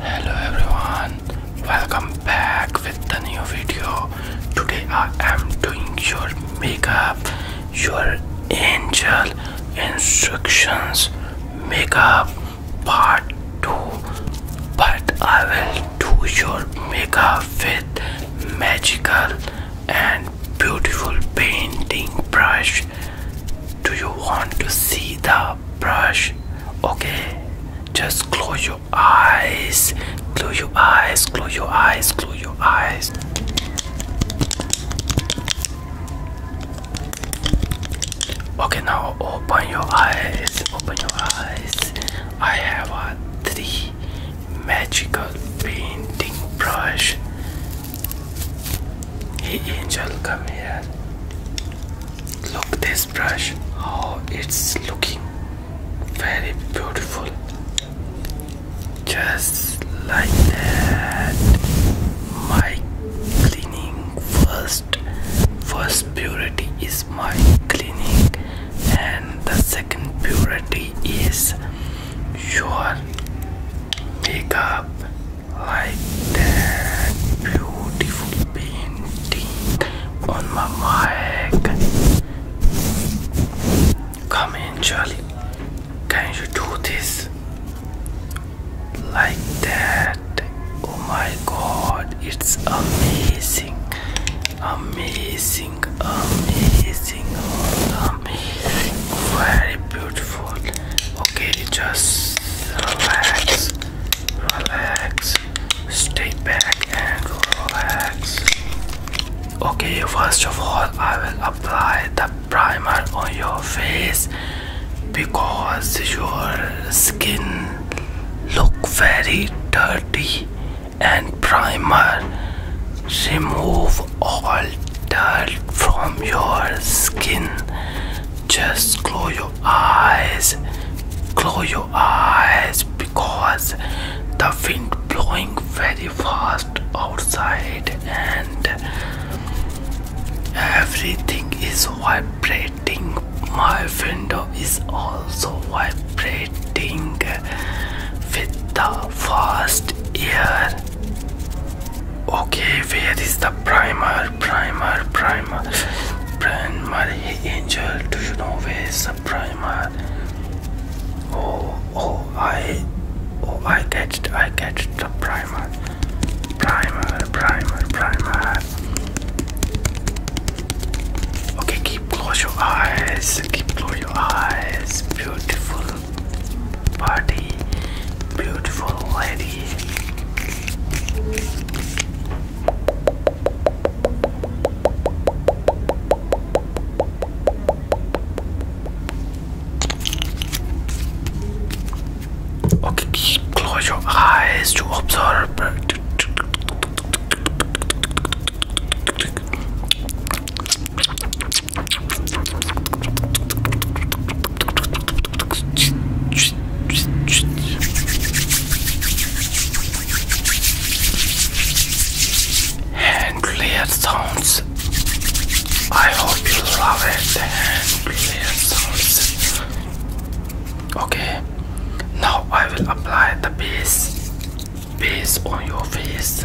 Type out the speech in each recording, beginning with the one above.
Hello everyone, welcome back with the new video. Today I am doing your makeup, your angel instructions makeup part 2 but I will do your makeup with magical and beautiful painting brush do you want to see the brush okay just close your eyes close your eyes close your eyes close your eyes Okay, now open your eyes. Open your eyes. I have a three magical painting brush. Hey, angel, come here. Look this brush. How oh, it's looking. Very beautiful. Just like that. My cleaning first first purity is my cleaning, and the second purity is your makeup like that beautiful painting on my mic come in Charlie can you do this like that. Oh my god, it's amazing, amazing, amazing, amazing, very beautiful. Okay, just relax, relax, stay back and relax. Okay, first of all, I will apply the primer on your face because your skin look very dirty and primer remove all dirt from your skin just close your eyes close your eyes because the wind blowing very fast outside and Everything is vibrating. My window is also vibrating with the fast air. Okay, where is the primer? Primer, primer, primer. Hey, Angel, do you know where is the primer? Oh, oh, I, oh, I get it, I get the primer. Primer, primer, primer. Okay, keep close your eyes. Keep close your eyes. Beautiful party. Beautiful lady. Okay, close your eyes to observe. Hand clear sounds. I hope you love it. Okay, now I will apply the base base on your face.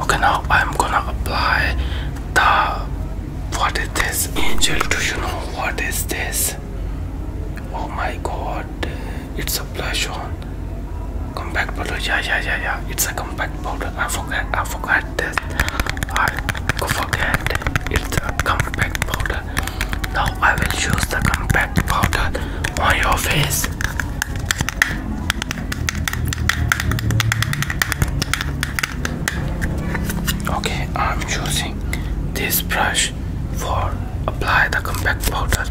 Okay, now I'm gonna apply the what is this angel? Do you know what is this? Oh my god, it's a blush on compact powder. Yeah, yeah, yeah, yeah, it's a compact powder. I forget, I forgot this. I forget it's a compact powder. Now I will use the compact powder on your face. Okay, I'm using this brush for apply the compact powder.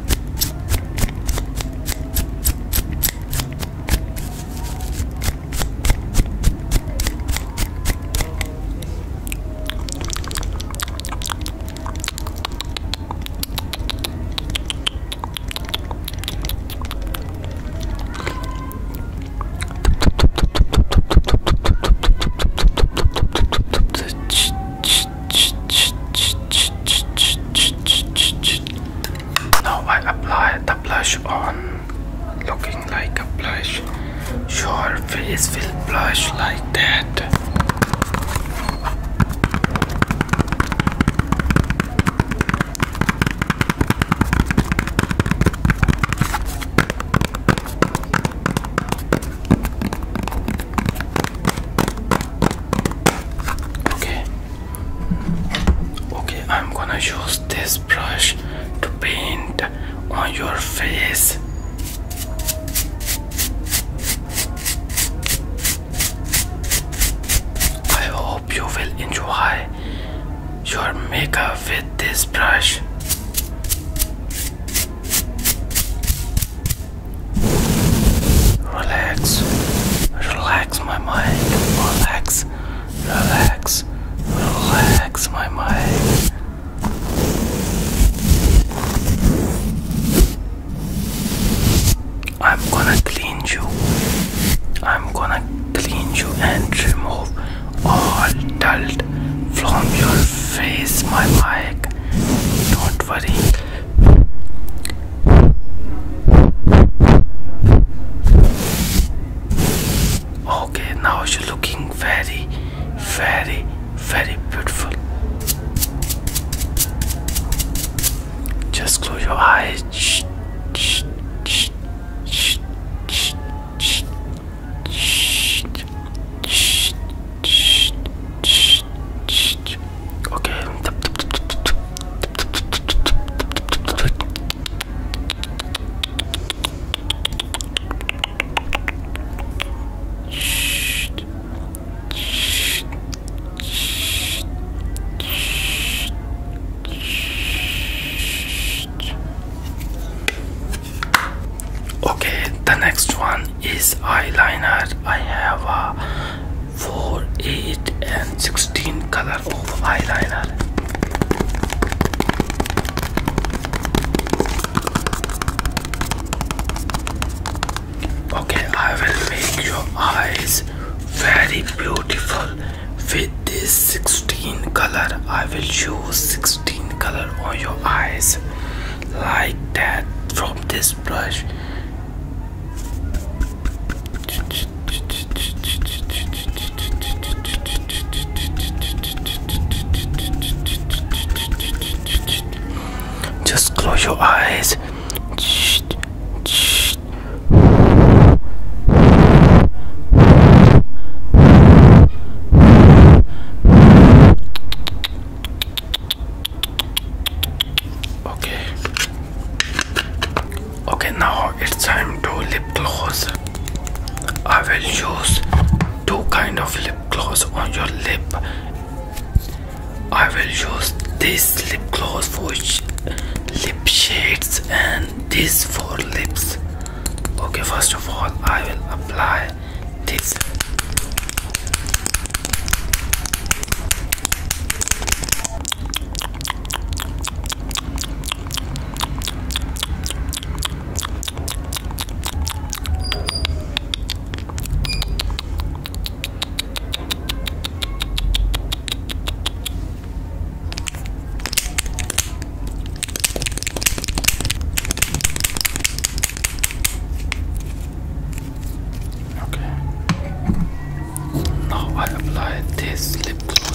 Now I apply the blush on, looking like a blush. Your face will blush like that. Okay. Okay, I'm gonna use this brush to paint on your face. I hope you will enjoy your makeup with this brush. Relax, relax my mind, relax, relax, relax my mind. I'm gonna clean you. I'm gonna clean you and remove all dirt from your face, my mic. Don't worry. Okay, now you're looking very, very, very beautiful. Just close your eyes. Shh, shh, shh, shh, shh, shh, shh, shh, shh, shh, shh. Okay. Shh, shh, Okay, the next one is eyeliner. I have a 4, 8, and 16 color eyeliner. Okay, I will make your eyes very beautiful with this 16 color i will use 16 color on your eyes like that from this brush just close your eyes Okay. Okay, now it's time to lip gloss. I will use two kind of lip gloss on your lip. I will use this lip gloss which lip shades and this for lips okay first of all i will apply this Okay. Now I apply this lip gloss.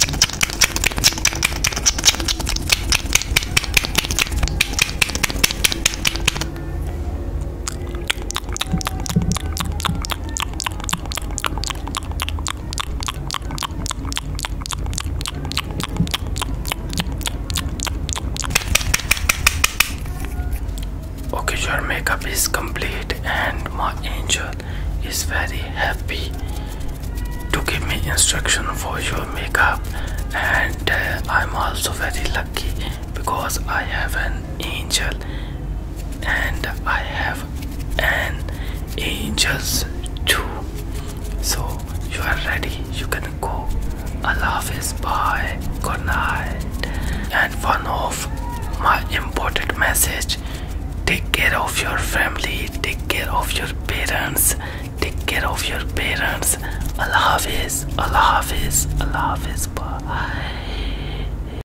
Okay, your makeup is complete, and my angel is very happy to give me instruction for your makeup, and uh, I'm also very lucky because I have an angel and I have an angels too. So you are ready, you can go. Allah is by good night. And one of my important message take care of your family, take care of your parents, take care of your parents. Allah is, Allah is, Allah is by.